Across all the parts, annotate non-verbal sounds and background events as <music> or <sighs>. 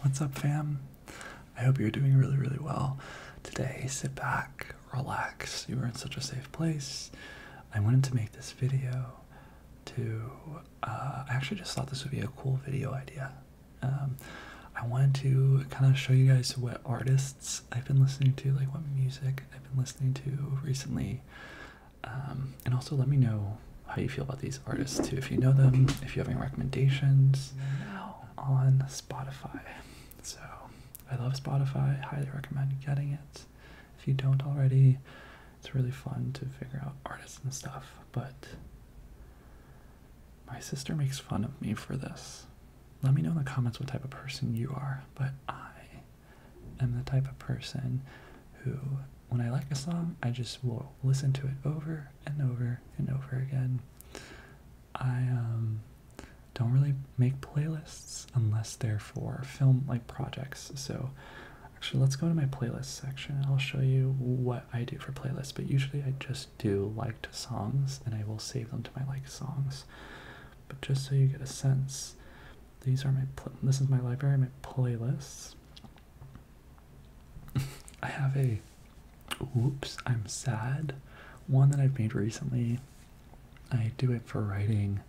What's up, fam? I hope you're doing really, really well today. Sit back, relax. You are in such a safe place. I wanted to make this video to. Uh, I actually just thought this would be a cool video idea. Um, I wanted to kind of show you guys what artists I've been listening to, like what music I've been listening to recently, um, and also let me know how do you feel about these artists too, if you know them, if you have any recommendations on Spotify. So I love Spotify, highly recommend getting it. If you don't already, it's really fun to figure out artists and stuff, but my sister makes fun of me for this. Let me know in the comments what type of person you are, but I am the type of person who when I like a song, I just will listen to it over and over and over again. I um, don't really make playlists unless they're for film like projects. So, actually, let's go to my playlist section. I'll show you what I do for playlists. But usually, I just do liked songs, and I will save them to my liked songs. But just so you get a sense, these are my this is my library, my playlists. <laughs> I have a oops, I'm sad one that I've made recently. I do it for writing.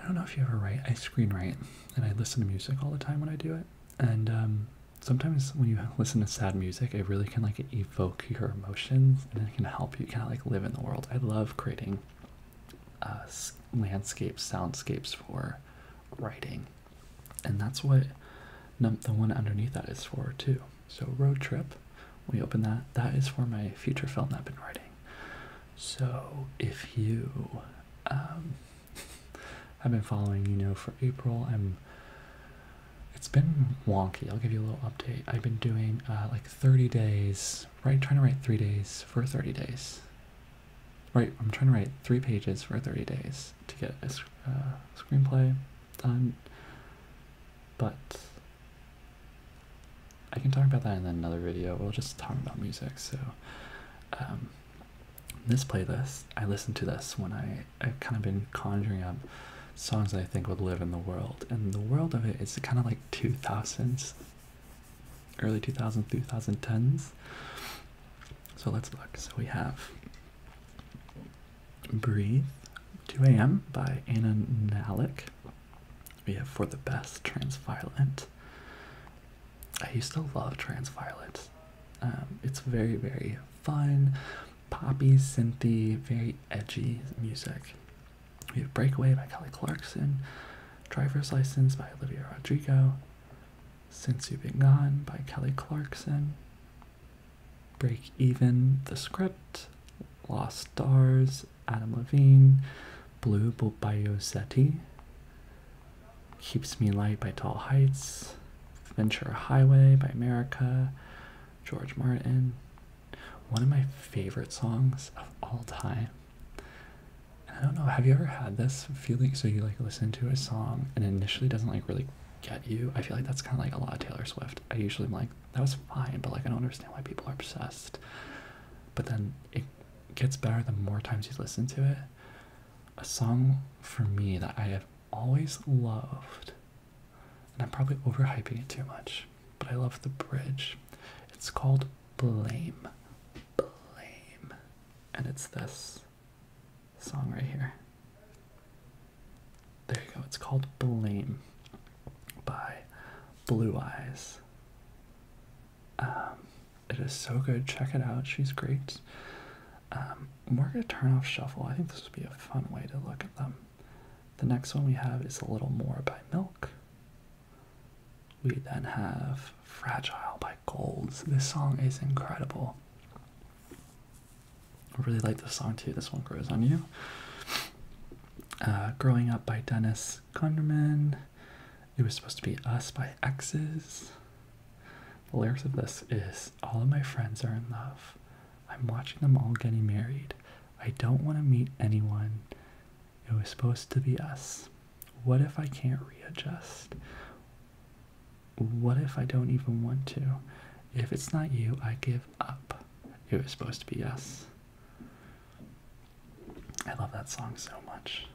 I don't know if you ever write. I screenwrite and I listen to music all the time when I do it. And um, sometimes when you <laughs> listen to sad music, it really can like evoke your emotions and it can help you kind of like live in the world. I love creating uh, landscapes, soundscapes for writing. And that's what the one underneath that is for too. So road trip, we open that. That is for my future film that I've been writing. So if you um, have <laughs> been following, you know, for April, I'm. It's been wonky. I'll give you a little update. I've been doing uh, like 30 days, right? Trying to write three days for 30 days Right, I'm trying to write three pages for 30 days to get a uh, screenplay done, but I can talk about that in another video. We'll just talk about music. So, um, this playlist, I listen to this when I, I've kind of been conjuring up songs that I think would live in the world. And the world of it is kind of like 2000s, early 2000s, 2010s. So let's look. So we have Breathe 2 a.m. by Anna Nalick. We have For the Best Transviolent. I used to love Transviolet. Um, it's very, very fun, poppy, synthy, very edgy music. We have Breakaway by Kelly Clarkson, Driver's License by Olivia Rodrigo, since You've Been Gone by Kelly Clarkson, Break Even, The Script, Lost Stars, Adam Levine, Blue by Yosetti, Keeps Me Light by Tall Heights, Venture Highway by America, George Martin. One of my favorite songs of all time I don't know, have you ever had this feeling? So you like listen to a song and initially doesn't like really get you. I feel like that's kind of like a lot of Taylor Swift. I usually am like, that was fine, but like I don't understand why people are obsessed. But then it gets better the more times you listen to it. A song for me that I have always loved, and I'm probably overhyping it too much, but I love the bridge. It's called Blame. Blame. And it's this song right here. There you go. It's called Blame by Blue Eyes. Um, it is so good. Check it out. She's great. Um, we're going to turn off Shuffle. I think this would be a fun way to look at them. The next one we have is A Little More by Milk. We then have Fragile by Golds. This song is incredible. I really like this song too. This one grows on you. Uh, Growing Up by Dennis Gunderman. It was supposed to be Us by X's. The lyrics of this is All of my friends are in love. I'm watching them all getting married. I don't want to meet anyone. It was supposed to be us. What if I can't readjust? what if I don't even want to? If it's not you, I give up. It was supposed to be us. I love that song so much.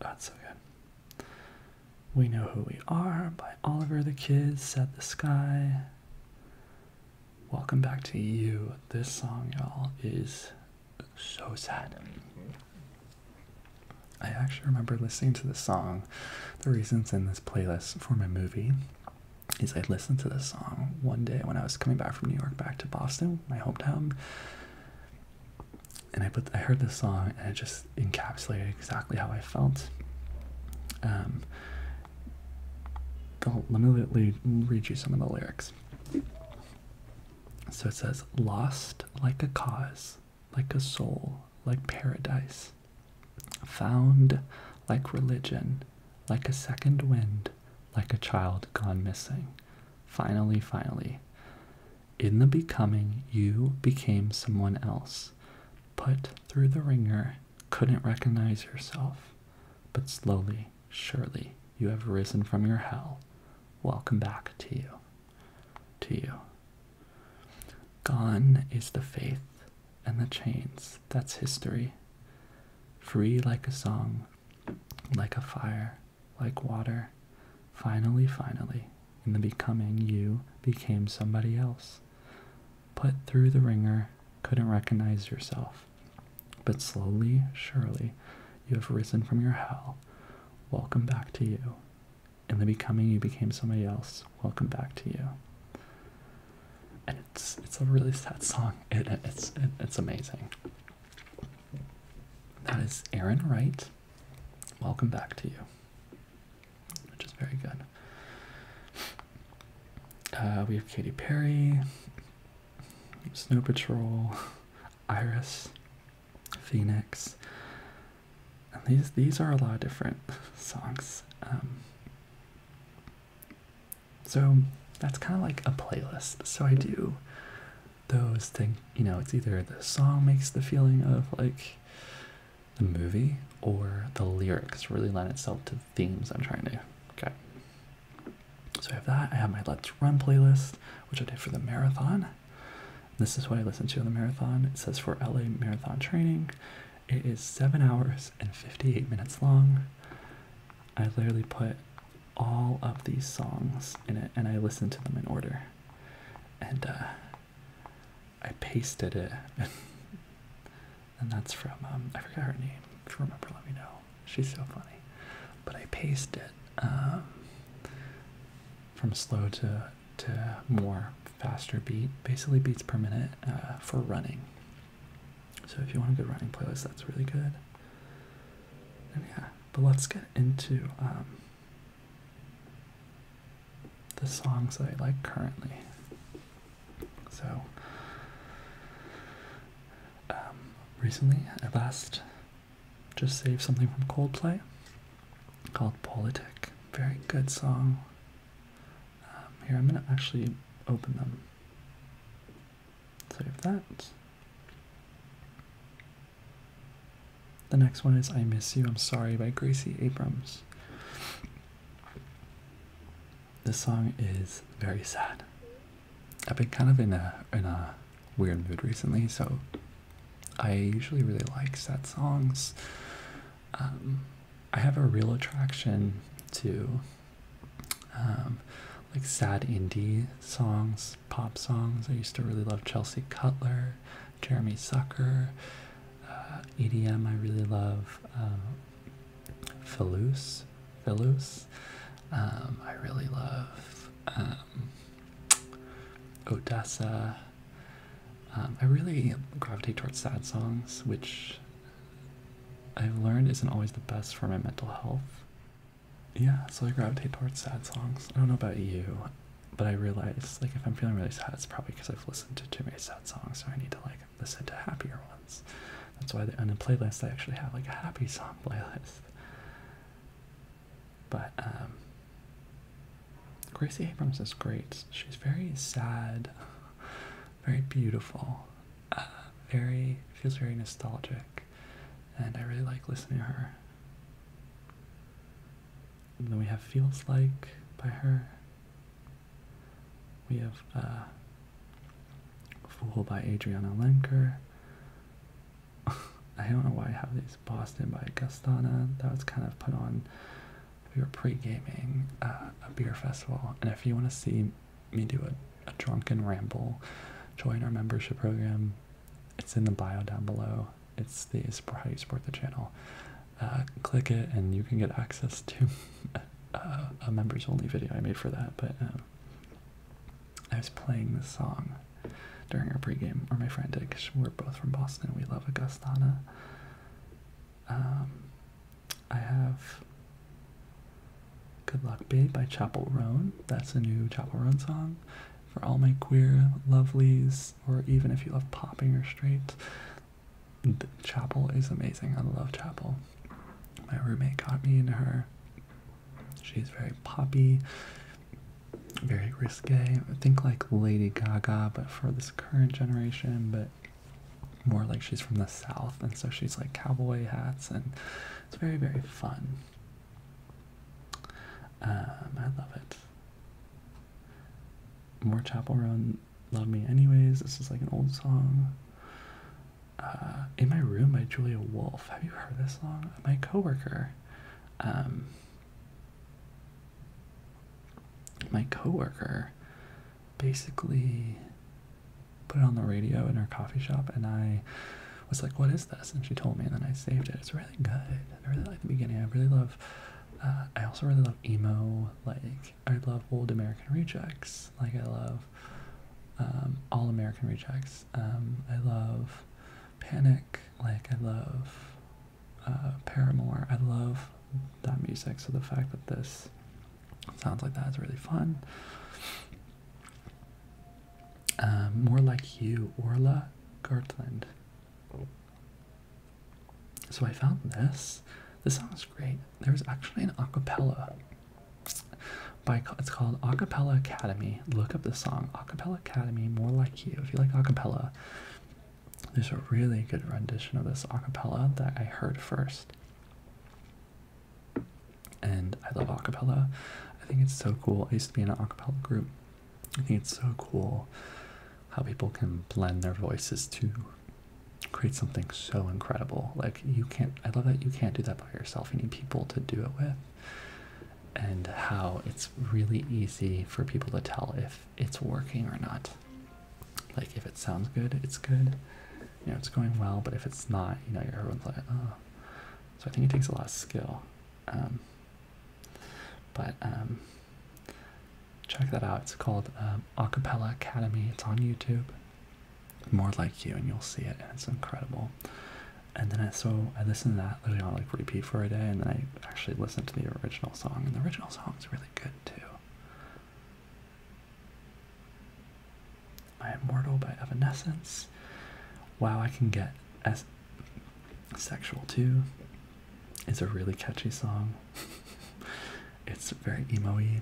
That's so good. We Know Who We Are by Oliver the Kids. Set the Sky. Welcome back to you. This song, y'all, is so sad. I actually remember listening to this song. The reasons in this playlist for my movie is I listened to this song one day when I was coming back from New York back to Boston, my hometown. And I put I heard this song and it just encapsulated exactly how I felt. Um, let me read you some of the lyrics. So it says, lost like a cause, like a soul, like paradise, found like religion, like a second wind, like a child gone missing. Finally, finally. In the becoming, you became someone else. Put through the ringer, couldn't recognize yourself, but slowly Surely you have risen from your hell. Welcome back to you. To you. Gone is the faith and the chains. That's history. Free like a song, like a fire, like water. Finally, finally, in the becoming, you became somebody else. Put through the ringer, couldn't recognize yourself. But slowly, surely, you have risen from your hell. Welcome back to you. In the becoming, you became somebody else. Welcome back to you. And it's it's a really sad song. It, it's it's amazing. That is Aaron Wright. Welcome back to you, which is very good. Uh, we have Katy Perry, Snow Patrol. Iris, Phoenix, and these these are a lot of different <laughs> songs. Um, so that's kind of like a playlist. So I do those things. You know, it's either the song makes the feeling of like the movie, or the lyrics really line itself to themes I'm trying to get so I have that. I have my Let's Run playlist, which I did for the marathon. This is what I listened to on the marathon. It says for LA Marathon Training. It is 7 hours and 58 minutes long. I literally put all of these songs in it and I listened to them in order. And uh, I pasted it. <laughs> and that's from, um, I forgot her name. If you remember, let me know. She's so funny. But I paced it um, from slow to to more faster beat, basically beats per minute uh, for running. So if you want a good running playlist, that's really good. yeah, but let's get into um, the songs I like currently. So um, recently, at uh, last just save something from Coldplay called Politic. Very good song. Um, here, I'm going to actually open them. Save that. The next one is I Miss You, I'm Sorry by Gracie Abrams. This song is very sad. I've been kind of in a in a weird mood recently, so I usually really like sad songs. Um, I have a real attraction to um, like sad indie songs, pop songs. I used to really love Chelsea Cutler, Jeremy Sucker, uh, EDM. I really love um, uh, Philus, um, I really love um, Odessa. Um, I really gravitate towards sad songs, which I've learned isn't always the best for my mental health. Yeah, so I gravitate towards sad songs. I don't know about you, but I realize like if I'm feeling really sad, it's probably because I've listened to too many sad songs, so I need to like listen to happier ones. That's why on the playlist I actually have like a happy song <laughs> playlist. But um, Gracie Abrams is great. She's very sad, <laughs> very beautiful, uh, very feels very nostalgic, and I really like listening to her. then we have Feels Like by her. We have uh, Fool by Adriana Lenker. I don't know why I have these. Boston by Gastana. That was kind of put on. We were pre-gaming uh, a beer festival, and if you want to see me do a, a drunken ramble, join our membership program. It's in the bio down below. It's the how you support the channel. Uh, click it, and you can get access to <laughs> uh, a, members-only video I made for that. But um, I was playing this song during our pregame, or my friend did, we're both from Boston. We love Augustana. Um, I have Good Luck Babe by Chapel Roan. That's a new Chapel Roan song. For all my queer lovelies, or even if you love popping or straight, Chapel is amazing. I love Chapel. My roommate got me into her She's very poppy, very risque. I think like Lady Gaga, but for this current generation, but more like she's from the South, and so she's like cowboy hats, and it's very, very fun. Um, I love it. More Chapel Roan, Love Me Anyways. This is like an old song. Uh, In My Room by Julia Wolf. Have you heard this song? my coworker. Um, my coworker basically put it on the radio in her coffee shop, and I was like, "What is this?" And she told me, and then I saved it. It's really good. I really like the beginning. I really love. Uh, I also really love emo. Like I love old American Rejects. Like I love um, all American Rejects. Um, I love Panic, like I love uh, Paramore. I love that music, so the fact that this sounds like that is really fun. Um, more like you, Orla Gartland. So I found this. This song is great. There's actually an acapella by it's called Acapella Academy. Look up the song Acapella Academy. More like you. If you like acapella, there's a really good rendition of this acapella that I heard first. And I love acapella. I think it's so cool. I used to be in an acapella group. I think it's so cool how people can blend their voices to create something so incredible. Like you can't I love that you can't do that by yourself. You need people to do it with and how it's really easy for people to tell if it's working or not. Like if it sounds good, it's good. You know, it's going well, but if it's not, you know, everyone's like, oh. So I think it takes a lot of skill. Um, but um, check that out. It's called um, Acapella Academy. It's on YouTube. More like you, and you'll see it. And it's incredible and then I so I listened to that literally on like repeat for a day, and then I actually listened to the original song, and the original song is really good too. My Immortal by Evanescence. Wow, I can get as sexual too. It's a really catchy song. <laughs> it's very emoey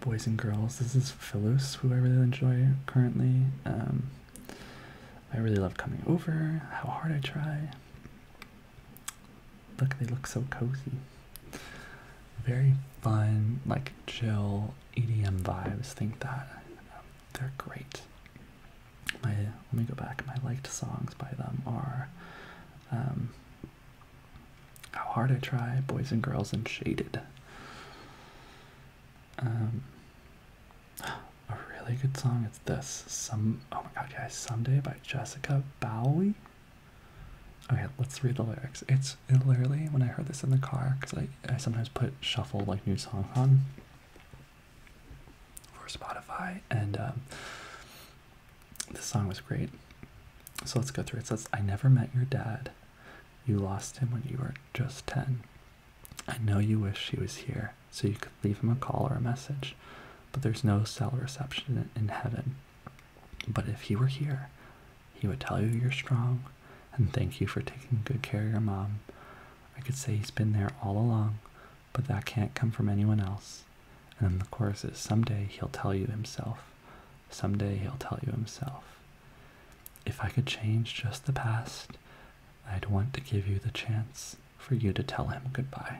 boys and girls. This is Philus, who I really enjoy currently. Um, I really love coming over, how hard I try. Look, they look so cozy. Very fun, like chill EDM vibes. Think that they're great. My let me go back. My liked songs by them are um, how Hard I Try, Boys and Girls, and Shaded. Um, a really good song It's this. Some oh my god, guys, Someday by Jessica Bowie. Okay, let's read the lyrics. It's literally when I heard this in the car, because I, I sometimes put shuffle like new songs on for Spotify, and um, this song was great. So let's go through it. Says, I never met your dad. You lost him when you were just 10. I know you wish he was here so you could leave him a call or a message, but there's no cell reception in heaven. But if he were here, he would tell you you're strong and thank you for taking good care of your mom. I could say he's been there all along, but that can't come from anyone else. And in the is someday he'll tell you himself. Someday he'll tell you himself. If I could change just the past, I'd want to give you the chance for you to tell him goodbye.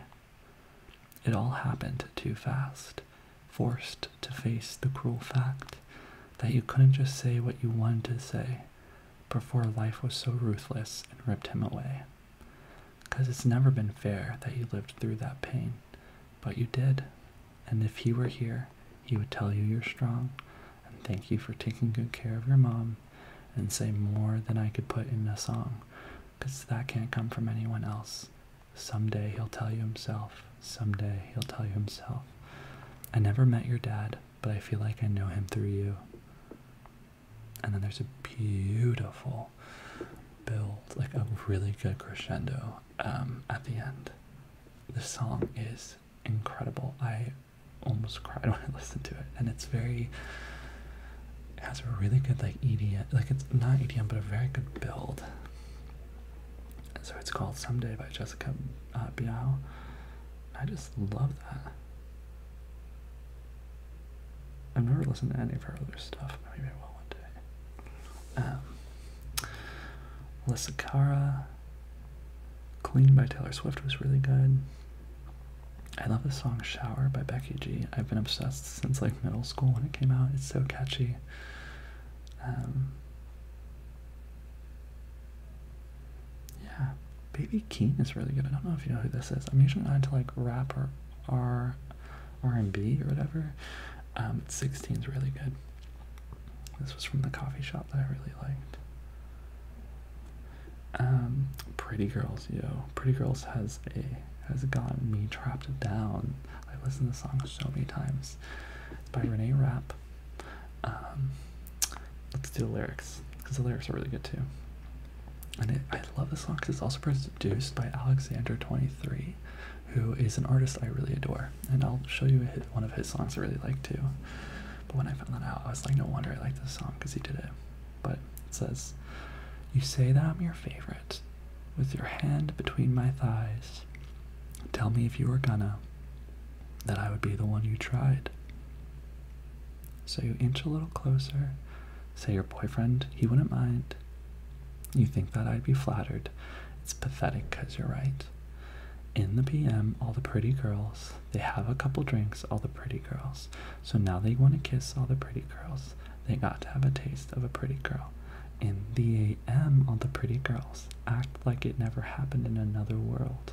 It all happened too fast, forced to face the cruel fact that you couldn't just say what you wanted to say before life was so ruthless and ripped him away. Because it's never been fair that you lived through that pain, but you did. And if he were here, he would tell you you're strong and thank you for taking good care of your mom and say more than I could put in a song because that can't come from anyone else. Someday he'll tell you himself. Someday he'll tell you himself. I never met your dad, but I feel like I know him through you. And then there's a beautiful build, like a really good crescendo um, at the end the song is incredible. I almost cried <laughs> when I listened to it, and it's very it has a really good like EDM, like it's not EDM, but a very good build. so it's called "Someday" by Jessica uh, Biel. I just love that. I've never listened to any of her other stuff. Maybe one day. Um, Alyssa Cara, Clean by Taylor Swift was really good. I love the song Shower by Becky G. I've been obsessed since like middle school when it came out. It's so catchy. Um, yeah, Baby Keem is really good. I don't know if you know who this is. I'm usually not into like rap or R R and B or whatever. Um, 16 is really good. This was from the coffee shop that I really liked. Um, Pretty Girls, yo. Pretty Girls has a has gotten me trapped down. I listen to the song so many times. It's by Renee Rapp. Um, let's do the lyrics because the lyrics are really good too. And I love this song because it's also produced by Alexander Twenty Three, who is an artist I really adore, and I'll show you one of his songs I really like too. But when I found that out, I was like, no wonder I like this song because he did it. But it says, You say that I'm your favorite, with your hand between my thighs. Tell me if you are gonna, that I would be the one you tried. So you inch a little closer, say your boyfriend, he wouldn't mind, you think that I'd be flattered. It's pathetic because you're right. In the PM, all the pretty girls, they have a couple drinks, all the pretty girls. So now they want to kiss all the pretty girls. They got to have a taste of a pretty girl. In the AM, all the pretty girls act like it never happened in another world.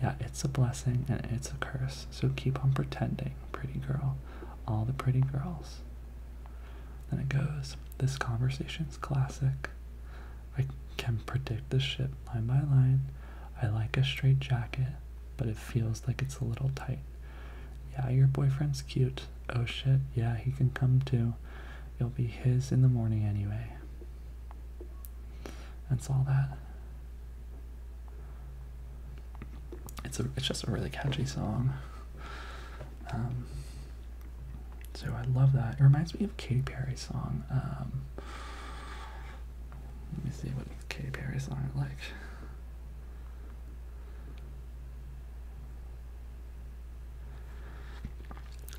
Yeah, it's a blessing and it's a curse. So keep on pretending, pretty girl. All the pretty girls. Then it goes, This conversation's classic. I can predict the ship line by line. I like a straight jacket, but it feels like it's a little tight. Yeah, your boyfriend's cute. Oh shit, yeah, he can come too. You'll be his in the morning anyway. That's all that. It's a it's just a really catchy song. Um, so I love that. It reminds me of Katy Perry's song. Um, let me see what Katy Perry song I like.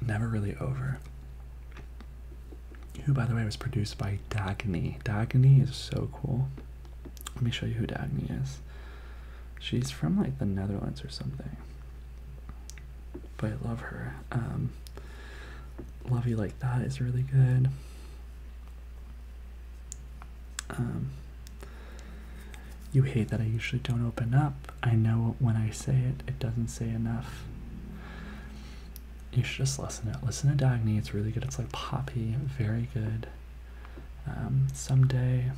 Never Really Over. Who, by the way, was produced by Dagny. Dagny is so cool. Let me show you who Dagny is. She's from like the Netherlands or something but I love her. Um, love you like that is really good. Um, you hate that I usually don't open up. I know when I say it, it doesn't say enough. You should just listen to it. Listen to Dagny, it's really good. It's like poppy, very good. Um, someday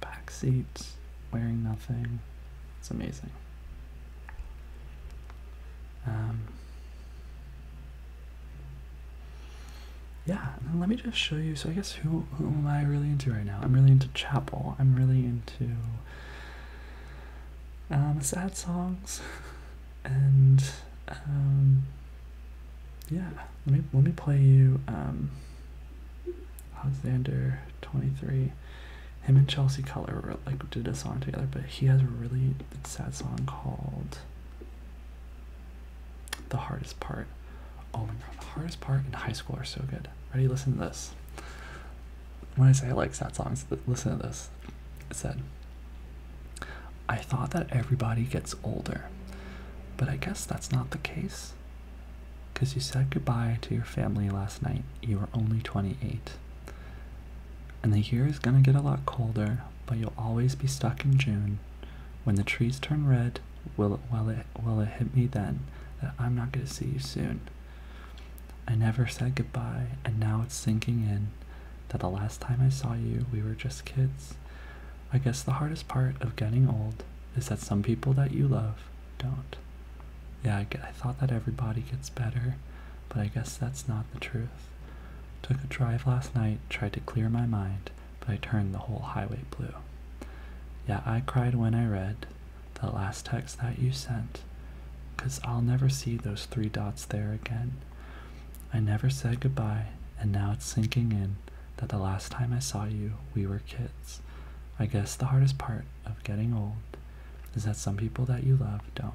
back seats, wearing nothing. It's amazing. Um, yeah, let me just show you. So I guess who who am I really into right now? I'm really into Chapel. I'm really into um, sad songs <laughs> and um, yeah, let me let me play you um, Alexander twenty three. Him and Chelsea Color like did a song together, but he has a really sad song called "The Hardest Part." Oh my god, the hardest part in high school are so good. Ready? Listen to this. When I say I like sad songs, listen to this. It said, "I thought that everybody gets older." But I guess that's not the case. Because you said goodbye to your family last night. You were only 28. And the year is going to get a lot colder, but you'll always be stuck in June. When the trees turn red, will it, will it, will it hit me then that I'm not going to see you soon? I never said goodbye, and now it's sinking in that the last time I saw you, we were just kids. I guess the hardest part of getting old is that some people that you love don't. Yeah, I, thought that everybody gets better, but I guess that's not the truth. Took a drive last night, tried to clear my mind, but I turned the whole highway blue. Yeah, I cried when I read the last text that you sent, cause I'll never see those three dots there again. I never said goodbye, and now it's sinking in that the last time I saw you, we were kids. I guess the hardest part of getting old is that some people that you love don't.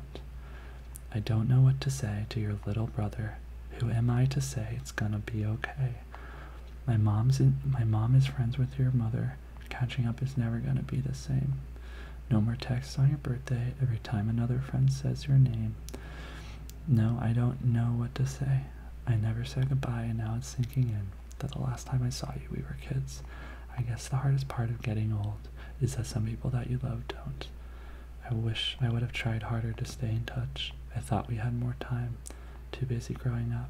I don't know what to say to your little brother. Who am I to say it's gonna be okay? My mom's in, my mom is friends with your mother. Catching up is never gonna be the same. No more texts on your birthday every time another friend says your name. No, I don't know what to say. I never said goodbye, and now it's sinking in that the last time I saw you, we were kids. I guess the hardest part of getting old is that some people that you love don't. I wish I would have tried harder to stay in touch. I thought we had more time, too busy growing up.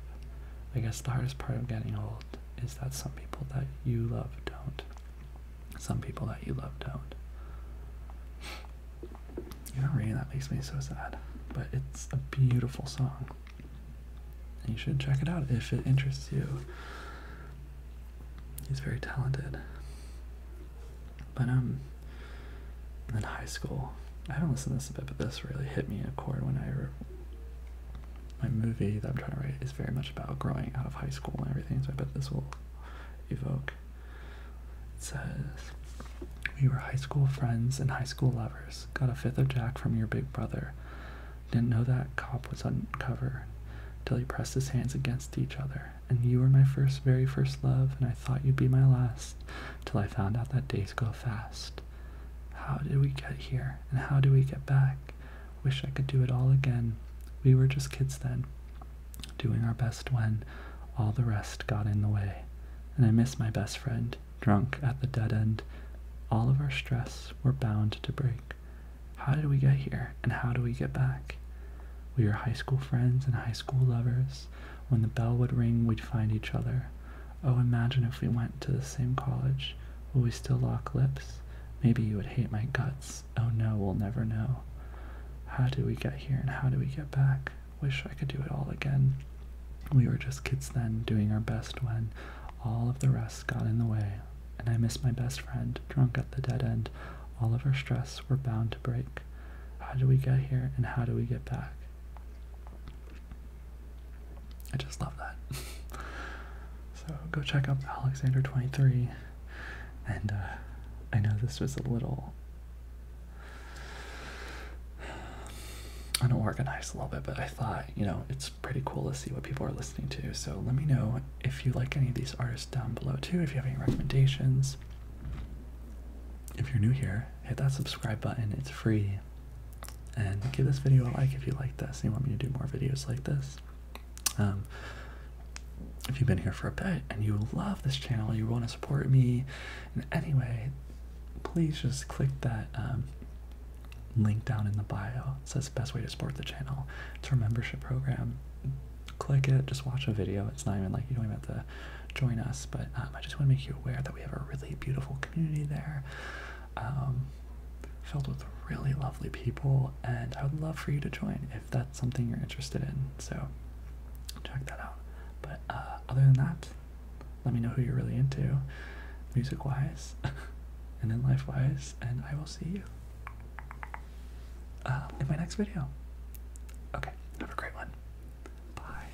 I guess the hardest part of getting old is that some people that you love don't. Some people that you love don't. You know, Rain, that makes me so sad. But it's a beautiful song. you should check it out if it interests you. He's very talented. But, um, in high school, I haven't listened to this a bit, but this really hit me in a chord when I. My movie that I'm trying to write is very much about growing out of high school and everything, so I bet this will evoke it says, We were high school friends and high school lovers. Got a fifth of Jack from your big brother. Didn't know that cop was undercover till he pressed his hands against each other. And you were my first, very first love, and I thought you'd be my last till I found out that days go fast. How did we get here, and how do we get back? Wish I could do it all again. We were just kids then, doing our best when all the rest got in the way and I miss my best friend, drunk at the dead end. All of our stress were bound to break. How did we get here, and how do we get back? We were high school friends and high school lovers. When the bell would ring, we'd find each other. Oh, imagine if we went to the same college. Will we still lock lips? Maybe you would hate my guts. Oh no, we'll never know. How did we get here and how do we get back? Wish I could do it all again. We were just kids then, doing our best when all of the rest got in the way. And I miss my best friend, drunk at the dead end. All of our stress were bound to break. How do we get here and how do we get back? I just love that. <laughs> so go check out Alexander 23. And uh, I know this was a little I <sighs> don't organize a little bit, but I thought, you know, it's pretty cool to see what people are listening to. So let me know if you like any of these artists down below too, if you have any recommendations. If you're new here, hit that subscribe button, it's free. And give this video a like if you like this and you want me to do more videos like this. Um, if you've been here for a bit and you love this channel, you want to support me in any way, please just click that um, link down in the bio. It says best way to support the channel. It's our membership program. Click it, just watch a video. It's not even like you don't even have to join us, but um, I just want to make you aware that we have a really beautiful community there. Um, filled with really lovely people and I would love for you to join if that's something you're interested in. So check that out. But uh, other than that, let me know who you're really into, music wise, <laughs> and in life wise, and I will see you uh, in my next video. Okay, have a great one. Bye.